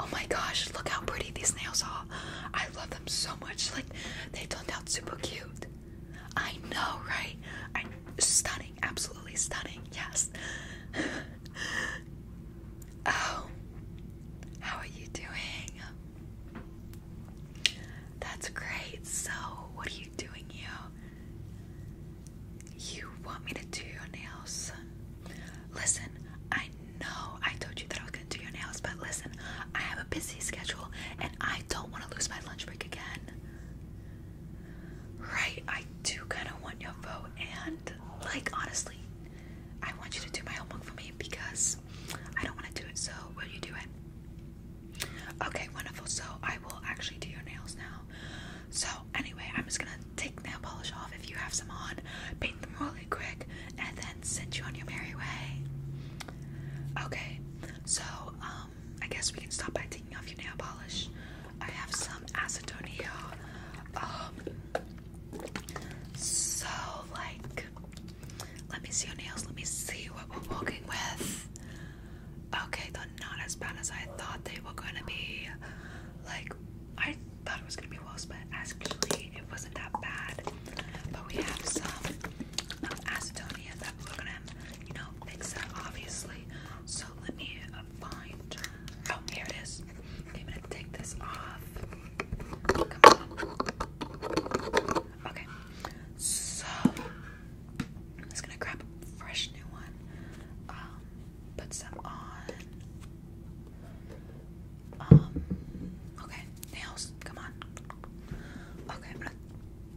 Oh my gosh, look how pretty these nails are. I love them so much. Like, they turned out super cute. I know, right? I, am stunning, absolutely stunning, yes. oh, how are you doing? That's great. So, what are you doing here? You want me to do your nails? Listen, I know I told you that I was gonna do your nails, but listen, I have a busy schedule and I don't wanna lose my lunch break again. Right, I do kinda want your vote, and like honestly, I want you to do my homework for me because I don't wanna do it, so will you do it? Okay, wonderful. So I will actually do your nails now. So anyway, I'm just gonna take nail polish off if you have some on, paint them really quick, and then send you on your merry way. Okay, so um, I guess we can stop by taking off your nail polish. I have some acetone here. Um, so like, let me see your nails. Let me see what we're working with. Okay, they're not as bad as I thought they were gonna be. Like, I thought it was gonna be worse, but Actually, it wasn't that bad. But we have some acetone um, acetonias that we're gonna, you know, mix up, obviously. So let me find. Oh, here it is. I'm gonna take this off. Okay, so I'm just gonna grab a fresh new one. Um, put some on. Um, okay, nails, come on. Okay, I'm gonna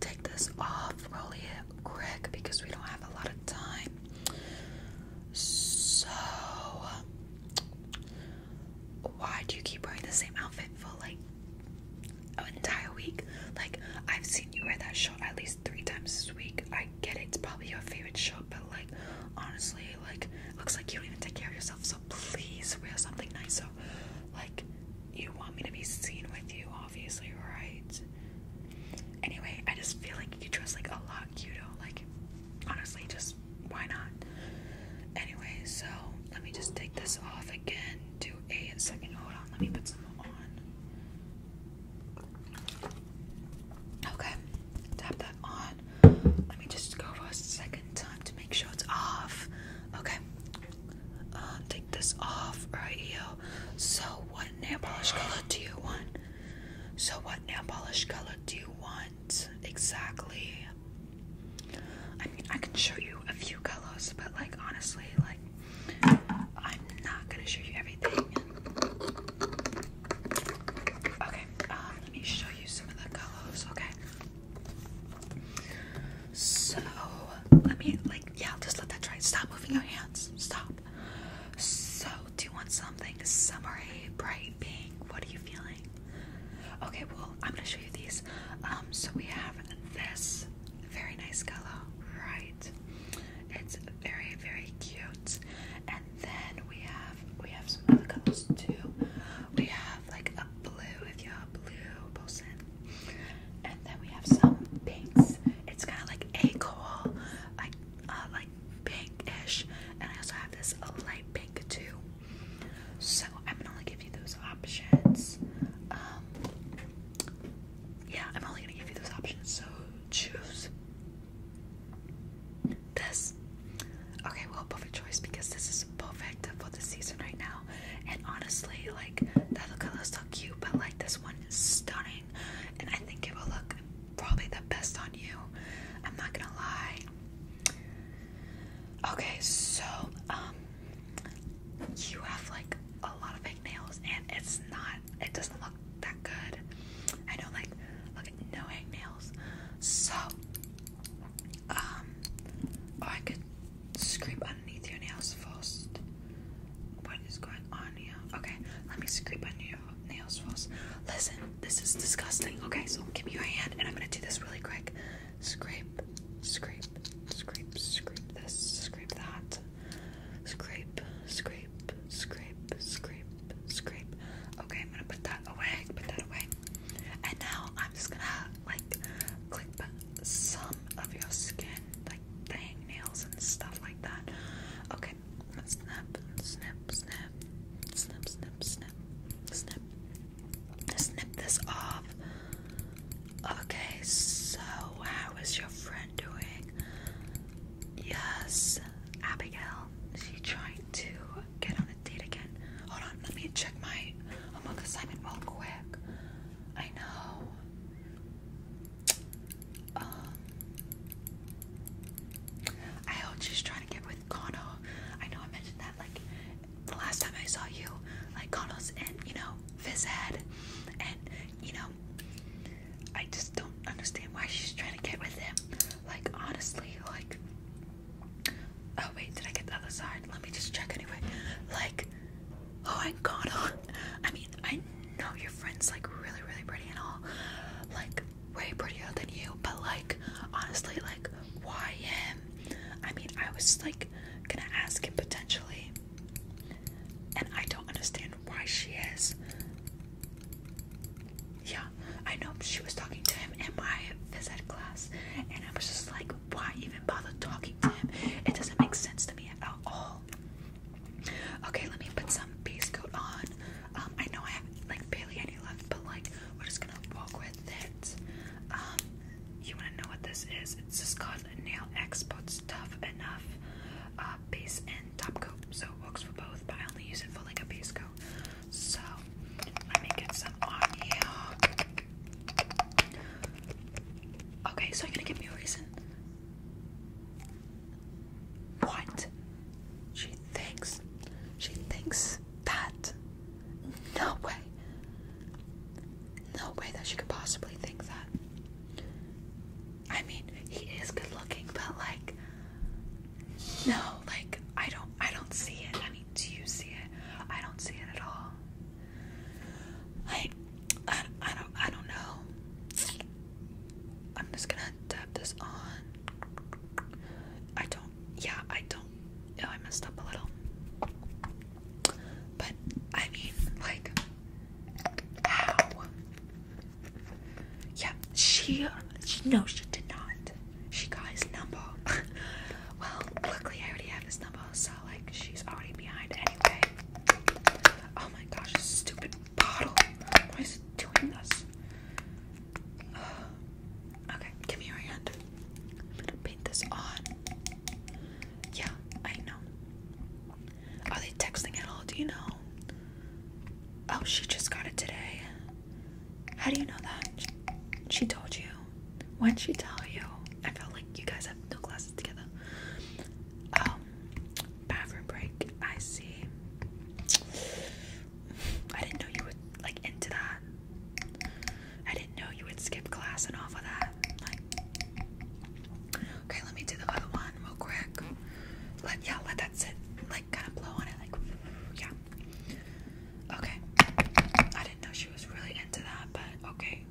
take this off, roll quick because we don't have a lot of time. So, why do you keep wearing the same outfit for like an entire week? Like, I've seen you wear that shirt at least three times this week get it, it's probably your favorite shirt, but like honestly, like looks like you don't even take care of yourself, so please wear something nice. So Like you want me to be seen with you, obviously, right? Anyway, I just feel like you dress like a lot cuter. Like honestly, just why not? Anyway, so let me just take this off again. Do a second. Hold on, let me put some on. Okay, tap that on. Let me just go for a second time to make sure it's off. Okay, uh, take this off right here. So, what nail polish color do you want? So, what nail polish color do you want exactly? I mean, I can show you a few colors, but like honestly, like I'm not gonna show you everything. Okay, um, let me show you some of the colors, okay? So, let me, like, yeah, just let that dry. Stop moving your hands. Stop. So, do you want something summery, bright pink? What are you feeling? Okay, well, I'm gonna show you these. Um, so we have this very nice color, right? It's very very cute. And then we have we have some other colors too. We have like a blue if you're blue person. And then we have some pinks. It's kind of like a cool, like uh, like pinkish. And I also have this light pink too. So I'm gonna only give you those options. Um, yeah, I'm only gonna give you those options. So choose this. Okay, well, perfect choice because this is perfect for the season right now. And honestly, like, that other is so cute, but like, this one is stunning. And I think it will look probably the best on you. I'm not gonna lie. Okay, so, um, you have like a lot of fake nails, and it's not, it doesn't look that good. I don't like look at no hangnails. So um or oh, I could scrape underneath your nails first. What is going on here? Okay, let me scrape under your nails first. Listen, this is disgusting. Okay, so give me your hand and I'm gonna do this really quick. Scrape, scrape, scrape, scrape this, scrape that. Scrape, scrape, scrape, scrape, scrape. Okay, I'm gonna put that away, put that away. And now I'm just gonna like clip some of your skin, like the nails and stuff like that. Okay, snap, snip, snip, snip, snip, snip, snip, snip this off. Okay, so how is your friend doing? Yes, is Abigail. She tried to get on a date again. Hold on, let me check my assignment real quick. I know. Um, I hope she's trying to get with Kono. I know I mentioned that like the last time I saw you, like Kono's and you know, phys ed, and you know, I just don't understand why she's trying to get with him. Like, honestly, like. Oh, wait, did I get the other side? Let me just check anyway. Like, oh I my god. I mean, I know your friend's like really, really pretty and all. Like, way prettier than you, but like, honestly, like, why him? I mean, I was like gonna ask him potentially. And I don't understand why she is. Yeah, I know she was talking to him in my phys ed class, and I was just like, why even bother talking to him? It doesn't make sense to me at all. Okay, let me put some base coat on. Um, I know I have like barely any left, but like we're just gonna walk with it. Um, you wanna know what this is? It's just called Nail Experts Tough Enough uh, Base top coat. So works for both, but I only use it for like a base coat. So let me get some Okay, so you're gonna give me a reason. What? She thinks. She thinks that. No way. No way that she could possibly think that. I mean, he is good looking, but like no, like I don't I don't see it. I mean, do you see it? I don't see it at all. I I, don't I don't know. I'm just going to tap this on. I don't yeah, I don't Yeah, oh, I messed up a little. But I mean, like yeah, she, she no, she did not. She got his number. well, luckily I already have his number, so like she's already behind anyway. Oh my gosh, stupid bottle. Why is it doing this? okay, give me your hand. I'm gonna paint this on. Yeah, I know. Are they texting at all? Do you know? Oh, she just got it today. How do you know that? She told you. Why'd she tell you? I felt like you guys have no classes together. Um, bathroom break. I see. I didn't know you were like into that. I didn't know you would skip class and all of that. Okay, let me do the other one real quick. Let yeah, let that sit. Like kind of blow on it. Like yeah. Okay. I didn't know she was really into that, but okay.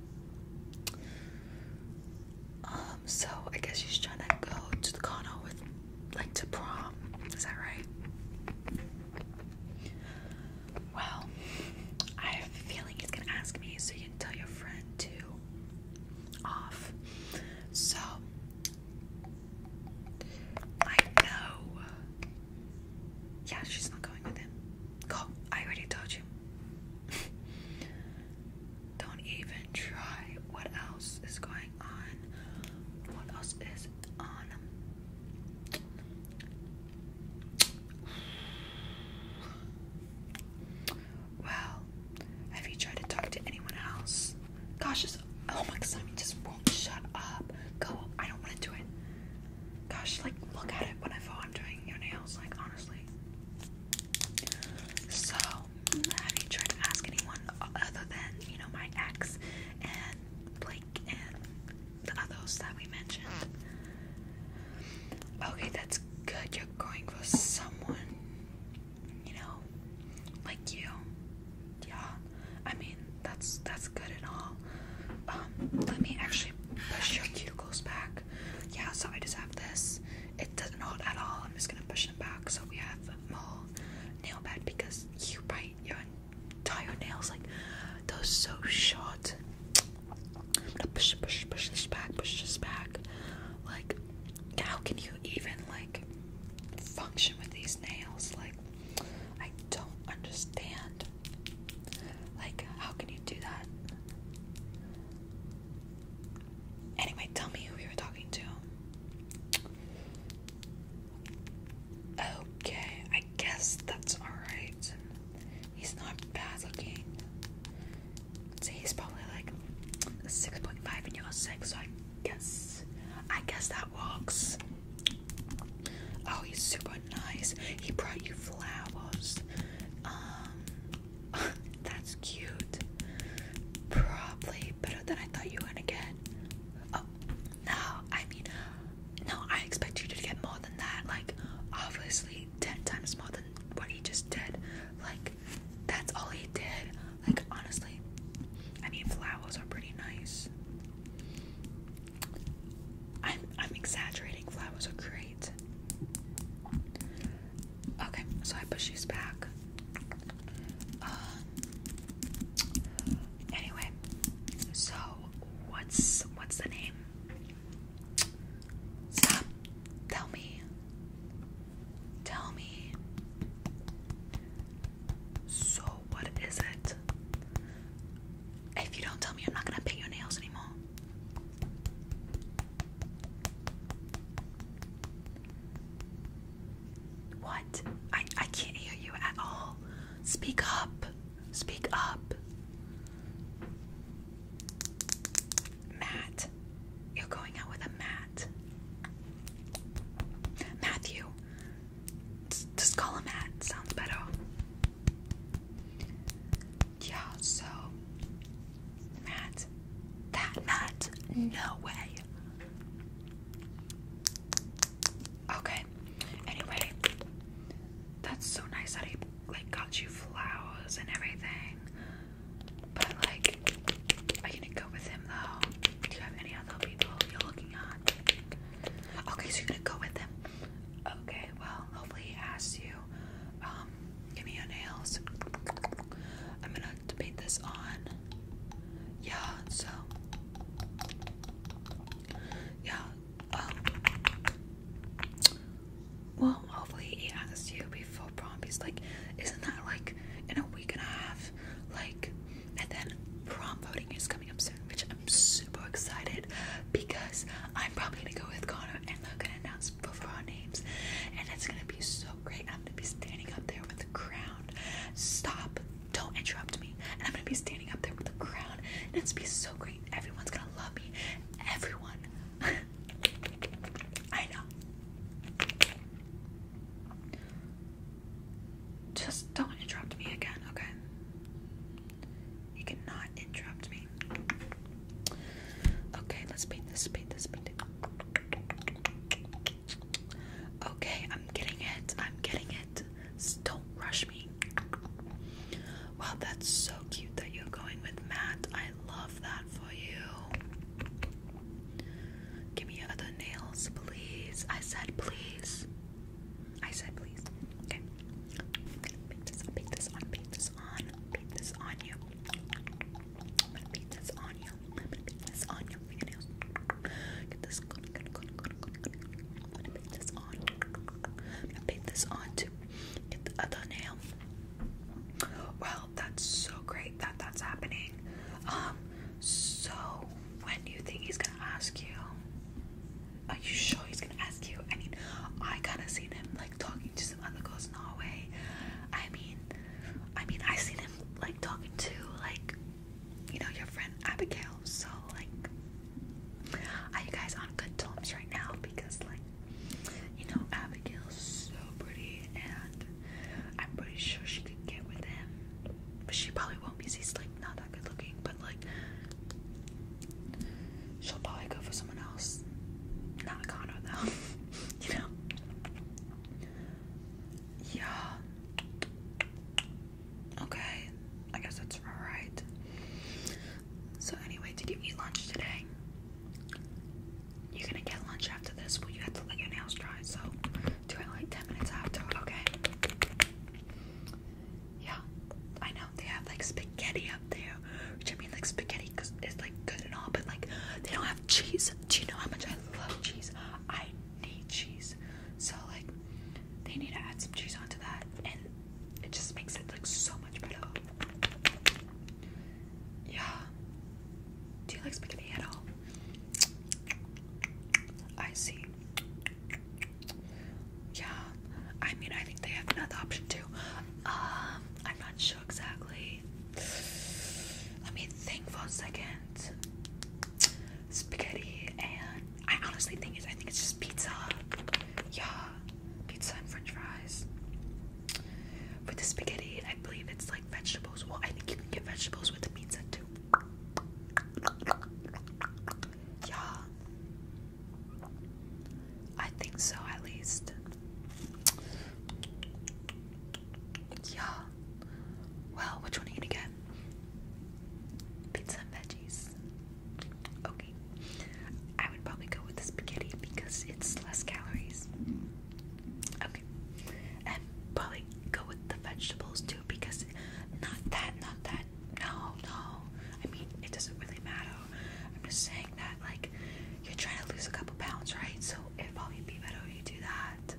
Um, so I guess she's trying to go to the condo with like to prom. Is that right? Well, I have a feeling he's gonna ask me, so you can tell your friend too off. So I know. Yeah, she's not going with him. Go. I already told you. Don't even try. What else is going on? What else is on? Well, have you tried to talk to anyone else? Gosh, this, oh my Simon just won't shut up. Go, I don't want to do it. Gosh, like look at it whenever I'm doing your nails, like honestly. So, have you tried to ask anyone other than, you know, my ex and Blake and the others that we mentioned? Okay, that's good you're going for someone, you know, like you. Yeah, I mean that's that's good and all. Um, let me actually push your cuticles back. Yeah, so I just have this. It doesn't hold at all. I'm just gonna push them back. So we have more nail bed because you bite your entire nails like those so short. I'm gonna push, push, push this back, push this back. Like, how can you even like function with these nails? Like, I don't understand. Like, how can you do that? Anyway, tell me who you were talking to. Okay, I guess that's alright. He's not bad looking. I'd say he's probably like 6.5 and you're 6, so I guess, I guess that works. Oh, he's super nice. He brought you flowers. Um, that's cute. Probably better than I thought you were gonna get. Oh, no, I mean, no, I expect you to get more than that. Like, obviously, 10 times more than what he just did. Like, that's all he did. Like, honestly, I mean, flowers are pretty nice. I'm I'm exaggerating. Flowers are great. Okay, so I push these back. Um, anyway, so what's what's the name? Stop. Tell me. Tell me. So, what is it? If you don't tell me, I'm not gonna paint your nails anymore. What? I, I can't hear you at all. Speak up. Speak up. Matt. You're going out with a Matt. Matthew. Just call him Matt. Sounds better. Yeah, so. Matt. That Matt. No way. Okay. Anyway. That's so nice that he like got you flowers and everything. But like, i you gonna go with him though? Do you have any other people you're looking at? Okay, so you're gonna go with him. Okay, well, hopefully he asks you. Um, give me your nails. I'm gonna paint this on. Yeah, so yeah, um, well, hopefully he asks you before prom. He's like, isn't that like in a week and a half? Like, and then prom voting is coming up soon, which I'm super excited because I'm probably gonna go with Connor and they're gonna announce both of our names, and it's gonna be so great. I'm gonna be standing up there with the crowd. Stop! Don't interrupt me. And I'm gonna be standing up there with the crowd, and it's gonna be so great. Everyone's gonna love me. Everyone. I know. Just don't interrupt me again, okay? You cannot interrupt me. Okay, let's paint this, paint this, paint Okay, I'm getting it. I'm getting it. don't rush me. Wow, that's so cute that you're going with Matt. I love that for you. Give me other nails, please. I said please. I said please. Okay. I'm gonna paint this paint this on, paint this on, paint this on you. I'm gonna paint this on you. I'm gonna paint this on your Get this good, good, good, good, good, good. I'm gonna paint this on. I'm gonna paint this on too get the nail. Well, that's so great that that's happening. Um, so when do you think he's gonna ask you? Are you sure he's gonna ask you? I mean, I kinda seen him like talking to some other girls in the hallway. I mean, I mean, I seen him like talking to like, you know, your friend Abigail. So like, are you guys on good terms right now? Because like, you know, Abigail's so pretty, and I'm pretty sure she could get with him. But she probably won't because he's like not that good looking, but like she'll probably go for someone else. Not Connor though. you know? Yeah. Okay. I guess that's alright. So anyway, did you eat lunch today? You're gonna get lunch after this, but you have to let your nails dry. So do I like 10 minutes after, okay? Yeah, I know they have like spaghetti up there, which I mean like spaghetti because it's like good and all, but like they don't have cheese. Do you know how much I love cheese? I need cheese, so like they need to add some cheese onto that. And it just makes it look so much better. Yeah. Do you like spaghetti at all? I see. Yeah. I mean, I think they have another option too. Um, I'm not sure exactly. Let me think for a second. Spaghetti and I honestly think it's I think it's just pizza. Yeah, pizza and french fries. For the spaghetti, I believe it's like vegetables. Well, I think you can get vegetables with the pizza too. Yeah. I think so, at least. Yeah. Well, which one are you gonna get? Pizza and veggies. Okay. I would probably go with the spaghetti because it's less calories. Okay. And probably go with the vegetables too because not that, not that. No, no. I mean, it doesn't really matter. I'm just saying that, like, you're trying to lose a couple pounds, right? So it probably be better if you do that.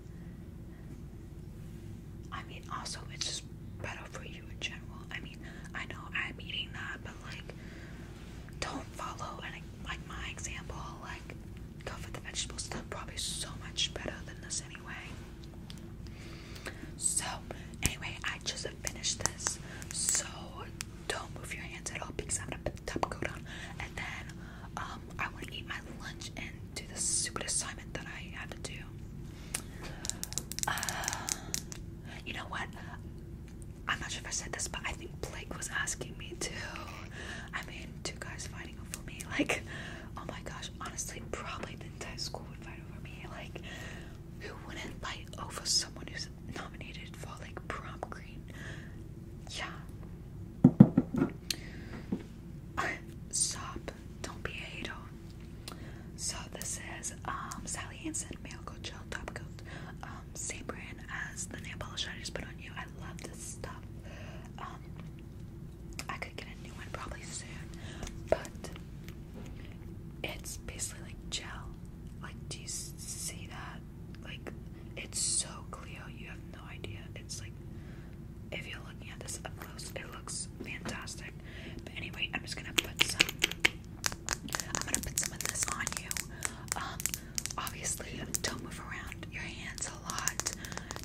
I mean, also, it's better for you in general. I mean. I know I'm eating that, but like, don't follow and like my example. Like, go for the vegetable stuff. probably so much better than this anyway. So, anyway, I just finished this. So, don't move your hands at all because I'm gonna put the top coat on, and then um, I want to eat my lunch and do the stupid assignment that I had to do. Uh, you know what? I'm not sure if I said this, but I think Blake was asking me too. I mean, two guys fighting over me. Like, oh my gosh, honestly, probably the entire school would fight over me. Like, who wouldn't fight over someone who's nominated for like prom queen? Yeah. Stop. Don't be a hater. So this is um, Sally Hansen Male Coat Gel Top Coat. Um, same brand as the nail polish I just put on you. I love this stuff. Um, I could get a new one probably soon, but it's basically like gel. Like, do you see that? Like, it's so clear. You have no idea. It's like, if you're looking at this up close, it looks fantastic. But anyway, I'm just gonna put some. I'm gonna put some of this on you. Um, obviously, don't move around your hands a lot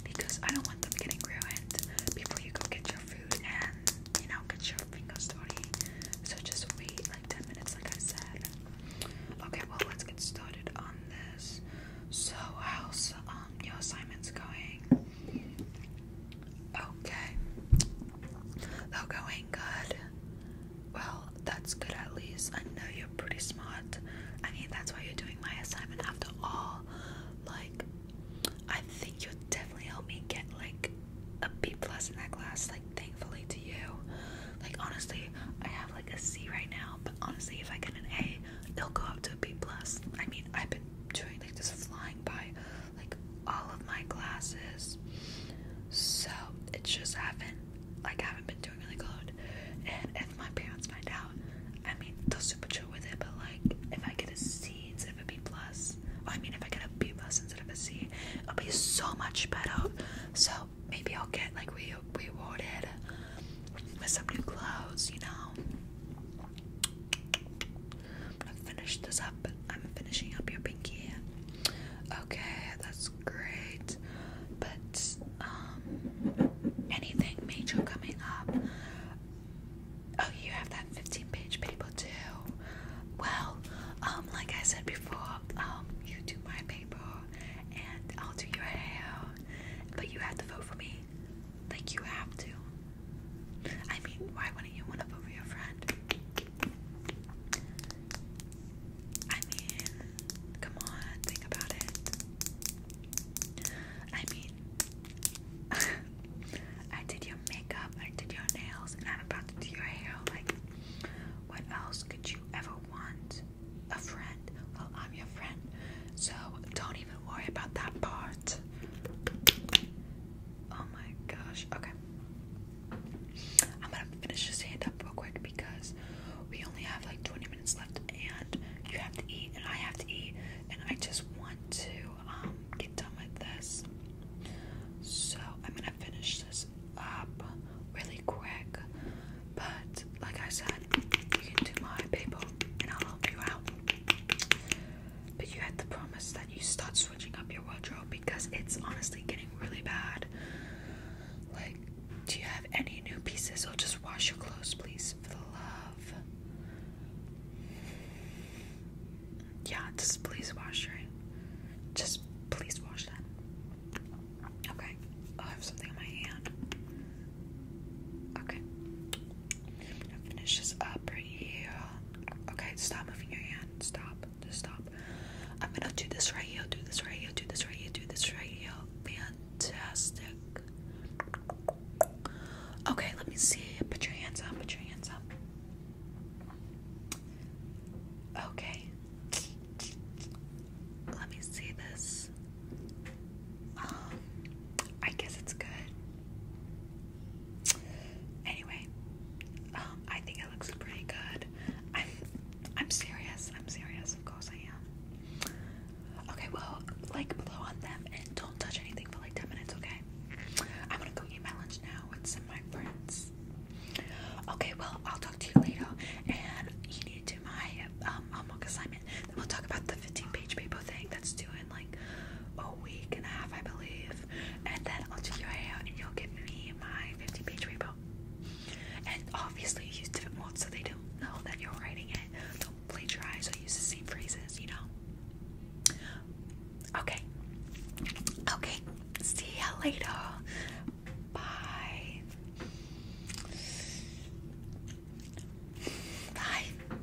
because I don't want them getting ruined before you go get your food and you know get your fingers dirty. So just wait like 10 minutes, like I said. Okay, well let's get started on this. So how's um your assignment going? Okay. They're going good. Well, that's good at least. I know you're pretty smart. I mean, that's why you're doing my assignment after all. Like, I think you will definitely help me get like a B plus in that class. Like, thankfully to you. Like, honestly, I have like a C right now. But honestly, if I get an A, it'll go up to a B plus. I mean, I've been doing like just flying by like all of my classes. So it's just I haven't like I haven't been doing really good. And if my parents find out, I mean they'll super chill with it, but like if I get a C instead of a B plus I mean if I get a B plus instead of a C, it'll be so much better. So maybe I'll get like re rewarded with some new clothes, you know. I'm gonna finish this up. I'm finishing up your pinky. Okay, that's great. But um, anything major coming up? Oh, you have that 15-page paper too. Well, um, like I said before, um, you do my paper, and I'll do your hair. But you have to vote for me. Like, you have to. I mean, why wouldn't you want to vote for friend? I mean, come on, think about it. I mean, I did your makeup, I did your nails, and I'm about to do your hair. Like, what else could you ever want? A friend? Well, I'm your friend, so don't even worry about that part. Oh my gosh. Okay. I'm gonna finish this hand up real quick because we only have like 20 minutes left and you have to eat and I have to eat and I just want to um get done with this. So I'm gonna finish this up really quick. But like I said, you can do my paper, and I'll help you out. But you had to promise that you start switching up your wardrobe because it's honestly getting really bad. Like, do you have any new pieces or just wash your clothes, please? For the love. Yeah, just please wash, right? Just please wash that. Okay, I have something in my hand. Okay, finish this up right here. Okay, stop moving your hand. Stop. Just stop. I'm gonna do this right here. Do this right here. Do this right here. Do this right here. Fantastic. Okay, let me see. Put your hands up. Put your hands up. Okay. Let me see this. Um, I guess it's good. Anyway, um, I think it looks pretty good. I'm, I'm serious. I'm serious. Of course I am. Okay, well, like blow on them and don't touch anything for like 10 minutes, okay? I'm gonna go eat my lunch now with some my friends. Okay, well, I'll talk to you later. And you need to do my um, homework assignment. Then we'll talk about the 15 page paper thing. That's due like a week and a half, I believe. And then I'll do your hair and you'll give me my 50 page repo. And obviously, use different words so they don't know that you're writing it. Don't plagiarize or use the same phrases, you know? Okay. Okay. See ya later. Bye. Bye.